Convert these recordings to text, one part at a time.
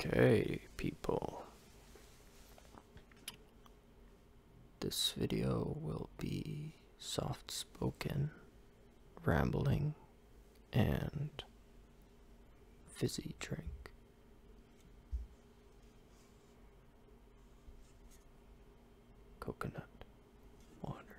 Okay, people. This video will be soft spoken, rambling, and fizzy drink. Coconut water.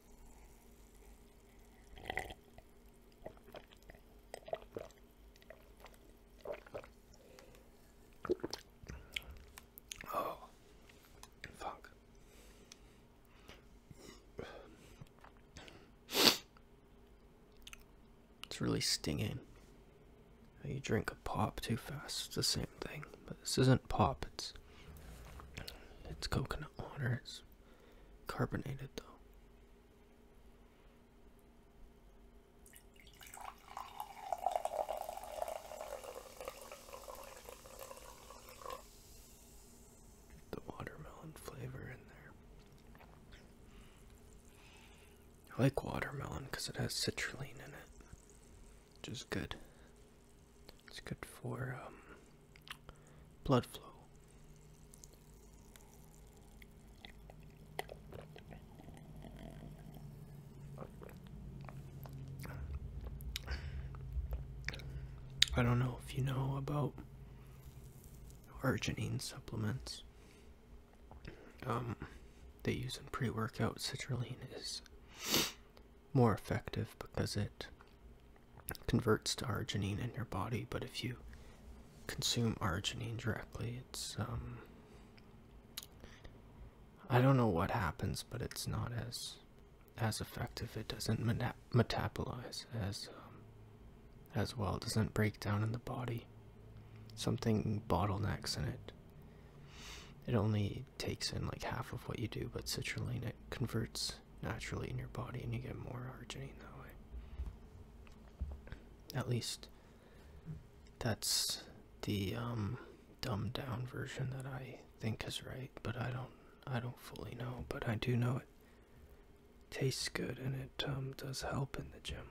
Oh, fuck. It's really stinging. You drink a pop too fast. It's the same thing, but this isn't pop. It's it's coconut water. It's Carbonated though. the watermelon flavor in there. I like watermelon because it has citrulline in it, which is good. It's good for um, blood flow. I don't know if you know about arginine supplements. Um, they use in pre-workout citrulline is more effective because it converts to arginine in your body, but if you consume arginine directly, it's um, I don't know what happens, but it's not as as effective. It doesn't metabolize as um, as well. It doesn't break down in the body. Something bottlenecks in it. It only takes in like half of what you do, but citrulline it converts naturally in your body and you get more arginine that way. At least that's the um, dumbed down version that I think is right, but I don't I don't fully know, but I do know it tastes good and it um, does help in the gym.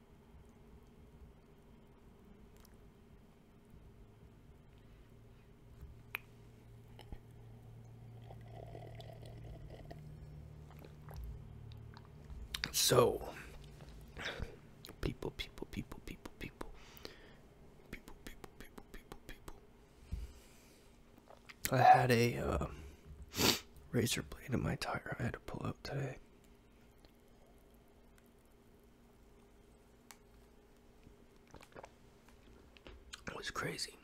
So, people, people, people, people, people, people, people, people, people, people. I had a uh, razor blade in my tire I had to pull out today. It was crazy.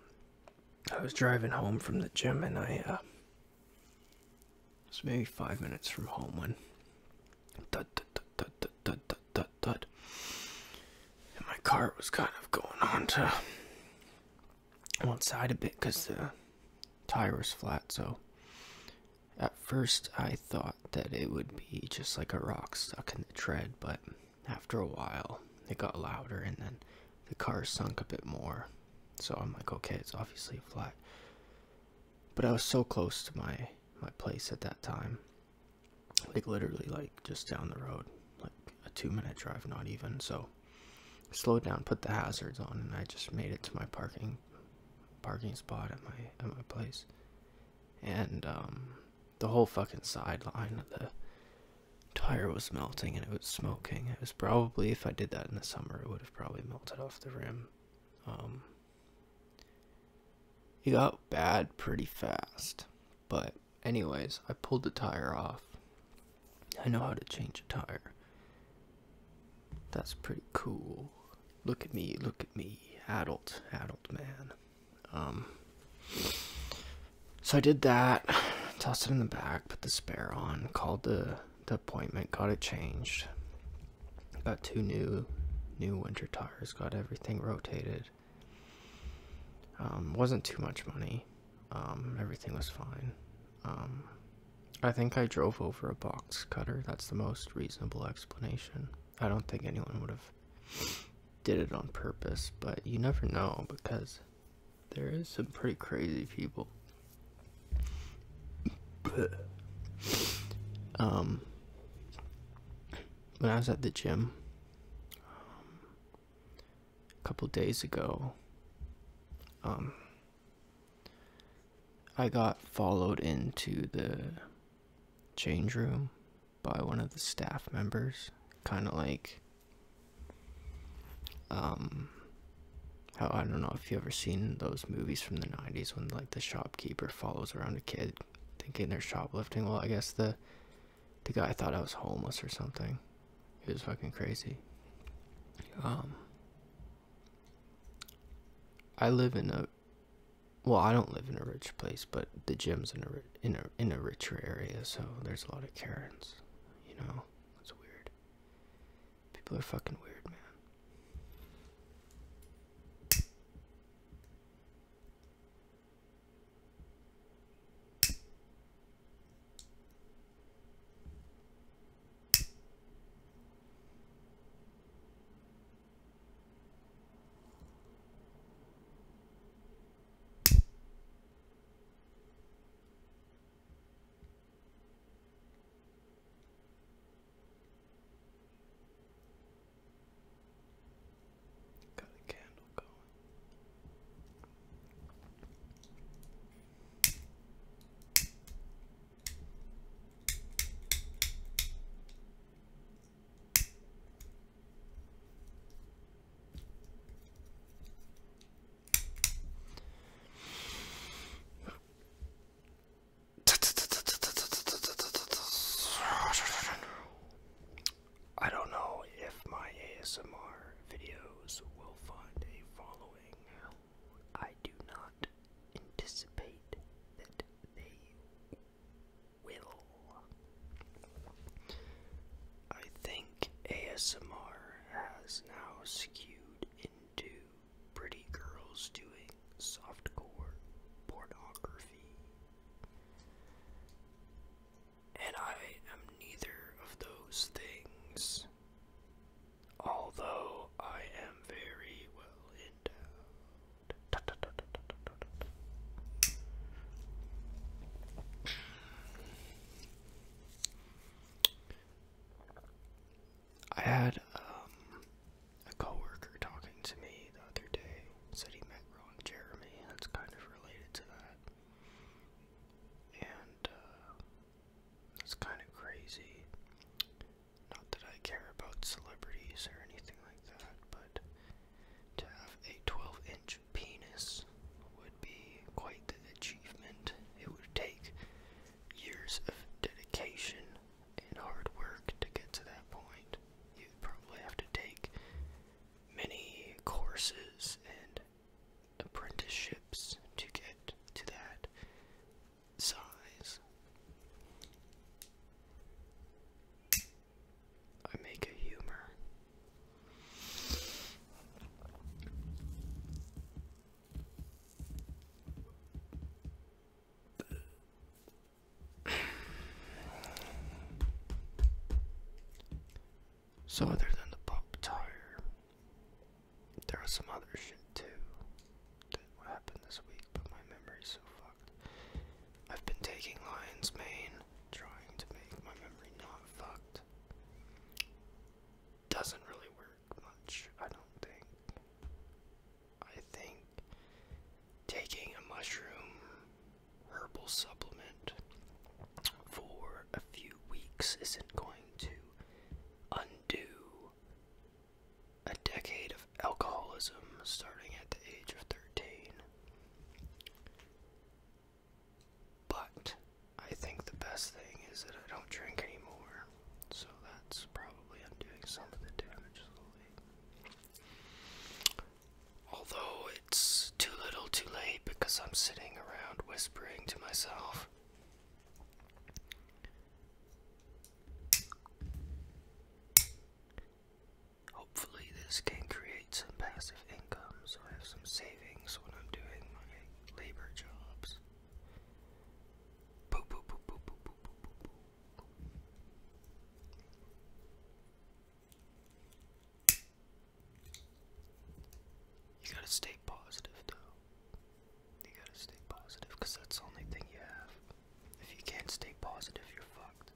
I was driving home from the gym and I uh, was maybe five minutes from home when thud, thud, thud, thud, thud, and my car was kind of going on to one side a bit because the tire was flat. So at first I thought that it would be just like a rock stuck in the tread, but after a while it got louder and then the car sunk a bit more. So I'm like, okay, it's obviously flat. But I was so close to my my place at that time, like literally like just down the road, like a two minute drive, not even. So slowed down, put the hazards on, and I just made it to my parking parking spot at my at my place. And um, the whole fucking sideline of the tire was melting and it was smoking. It was probably if I did that in the summer, it would have probably melted off the rim. Um, it got bad pretty fast. But anyways, I pulled the tire off I know how to change a tire. That's pretty cool. Look at me, look at me, adult, adult man. Um, so I did that, tossed it in the back, put the spare on, called the, the appointment, got it changed. Got two new, new winter tires, got everything rotated. Um, wasn't too much money. Um, everything was fine. Um, I think I drove over a box cutter. That's the most reasonable explanation. I don't think anyone would have did it on purpose, but you never know because there is some pretty crazy people. um, when I was at the gym um, a couple days ago, um, I got followed into the change room by one of the staff members, kind of like um how I don't know if you ever seen those movies from the 90s when like the shopkeeper follows around a kid thinking they're shoplifting. Well, I guess the the guy thought I was homeless or something. It was fucking crazy. Um, I live in a, well, I don't live in a rich place, but the gym's in a in a in a richer area, so there's a lot of Karens. You know, it's weird. People are fucking weird, man. Got a candle going. I don't know if my ASMR videos will find a following. I do not anticipate that they will. I think ASMR has now skewed into pretty girls doing softcore pornography. And I am neither of those things although I am very well in endowed. I had um, a coworker talking to me the other day. Said he met wrong Jeremy. That's kind of related to that. And uh, that's kind of crazy. Not that I care about celebrities or anything like that, but to have a 12 inch penis would be quite the achievement. It would take years of dedication and hard work to get to that point. You'd probably have to take many courses and apprenticeships to get to that size. I make a humor. So other than the pop tire, there was some other shit too that happened this week, but my memory's so fucked. I've been taking lion's mane, trying to make my memory not fucked. Doesn't really work much, I don't think. I think taking a mushroom herbal supplement for a few weeks isn't going to undo a decade of alcoholism starting at the age of 13. But I think the best thing is that I don't drink anymore, so that's probably undoing some of the damage slowly. Although it's too little too late because I'm sitting around whispering to myself, Hopefully, this can create some passive income so I have some savings when I'm doing my labor jobs. You gotta stay positive, though. You gotta stay positive, because that's the only thing you have. If you can't stay positive, you're fucked.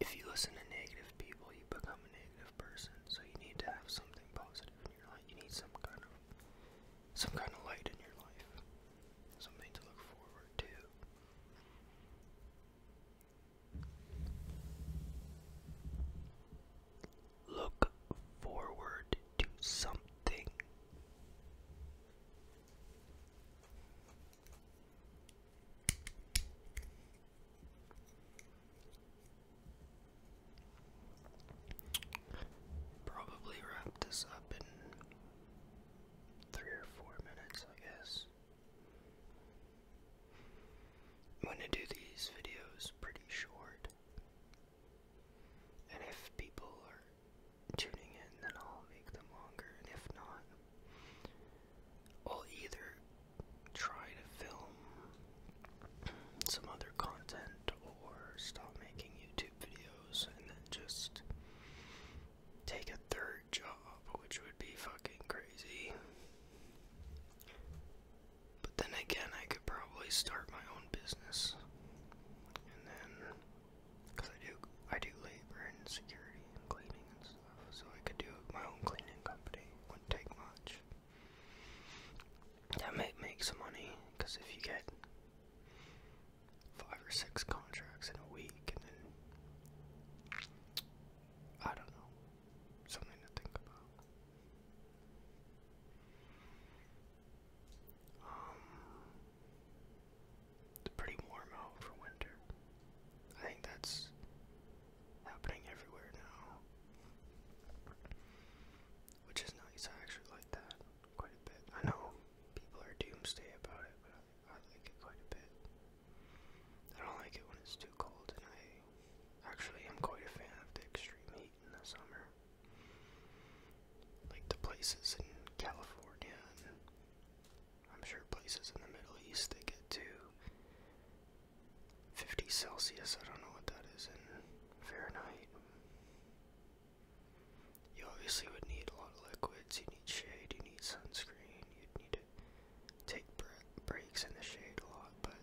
If you listen to negative people, you become a negative person. So you need to have something positive in your life. You need some kind of some kind of light in your life. Something to look forward to. Look forward to something. Probably wrap this up in three or four minutes, I guess. I'm going to do these videos pretty short. And if people are tuning in, then I'll make them longer. And if not, I'll either try to film some other content or stop making YouTube videos and then just take a third job, which would be fucking crazy. But then again, I could probably start my own business. And then, because I do, I do labor and security and cleaning and stuff, so I could do my own cleaning company. Wouldn't take much. That might make some money, because if you get five or six contracts in a week, and then I don't know, something to think about. Um, it's pretty warm out for winter. I think that's happening everywhere now, which is nice. I actually like that quite a bit. I know people are doomsday about it, but I like it quite a bit. I don't like it when it's too cold, and I Actually, I'm quite a fan of the extreme heat in the summer. Like the places in California, I'm sure places in the Middle East, they get to 50 Celsius. I don't know what that is in Fahrenheit. You obviously would need a lot of liquids. You need shade, you need sunscreen, you need take breaks in the shade a lot, but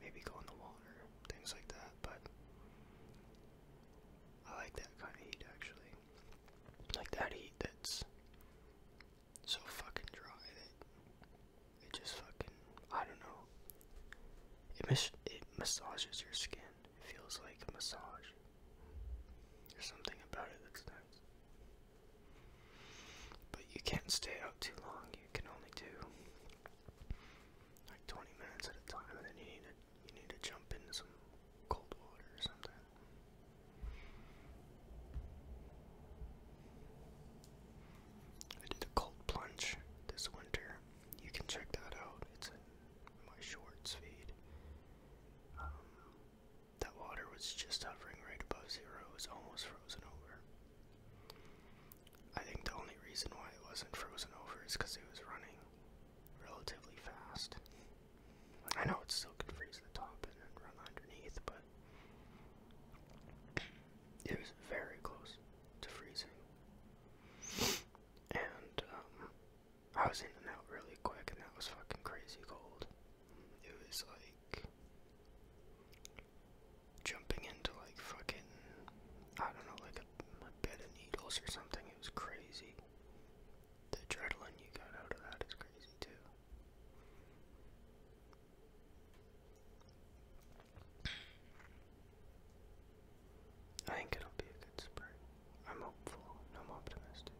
maybe go in the water, things like that. But I like that kind of heat actually. Like that heat that's so fucking dry it just fucking, I don't know. It, it massages your skin. It feels like a massage. There's something about it that's nice. But you can't stay out too long. You can only do like 20 minutes at a time, and then you need to you need to jump into some cold water or something. I did a cold plunge this winter. You can check that out. It's in my shorts feed. Um, that water was just hovering right above zero, it was almost frozen over. I think the only reason why it wasn't frozen over is because it was running relatively fast. I know it still could freeze the top and then run underneath, but it was very close to freezing. And um, I was in and out really quick, and that was fucking crazy cold it was like jumping into like fucking I don't know like a, bed of needles or something. It was crazy. The adrenaline you got out of that is crazy too. I think it'll be a good spring. I'm hopeful and I'm optimistic.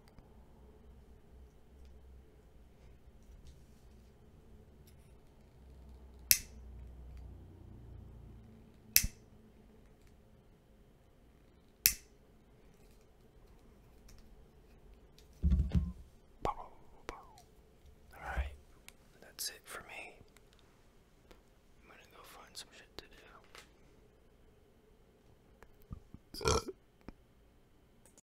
Alright, that's it for me. I'm gonna go find some shit to do.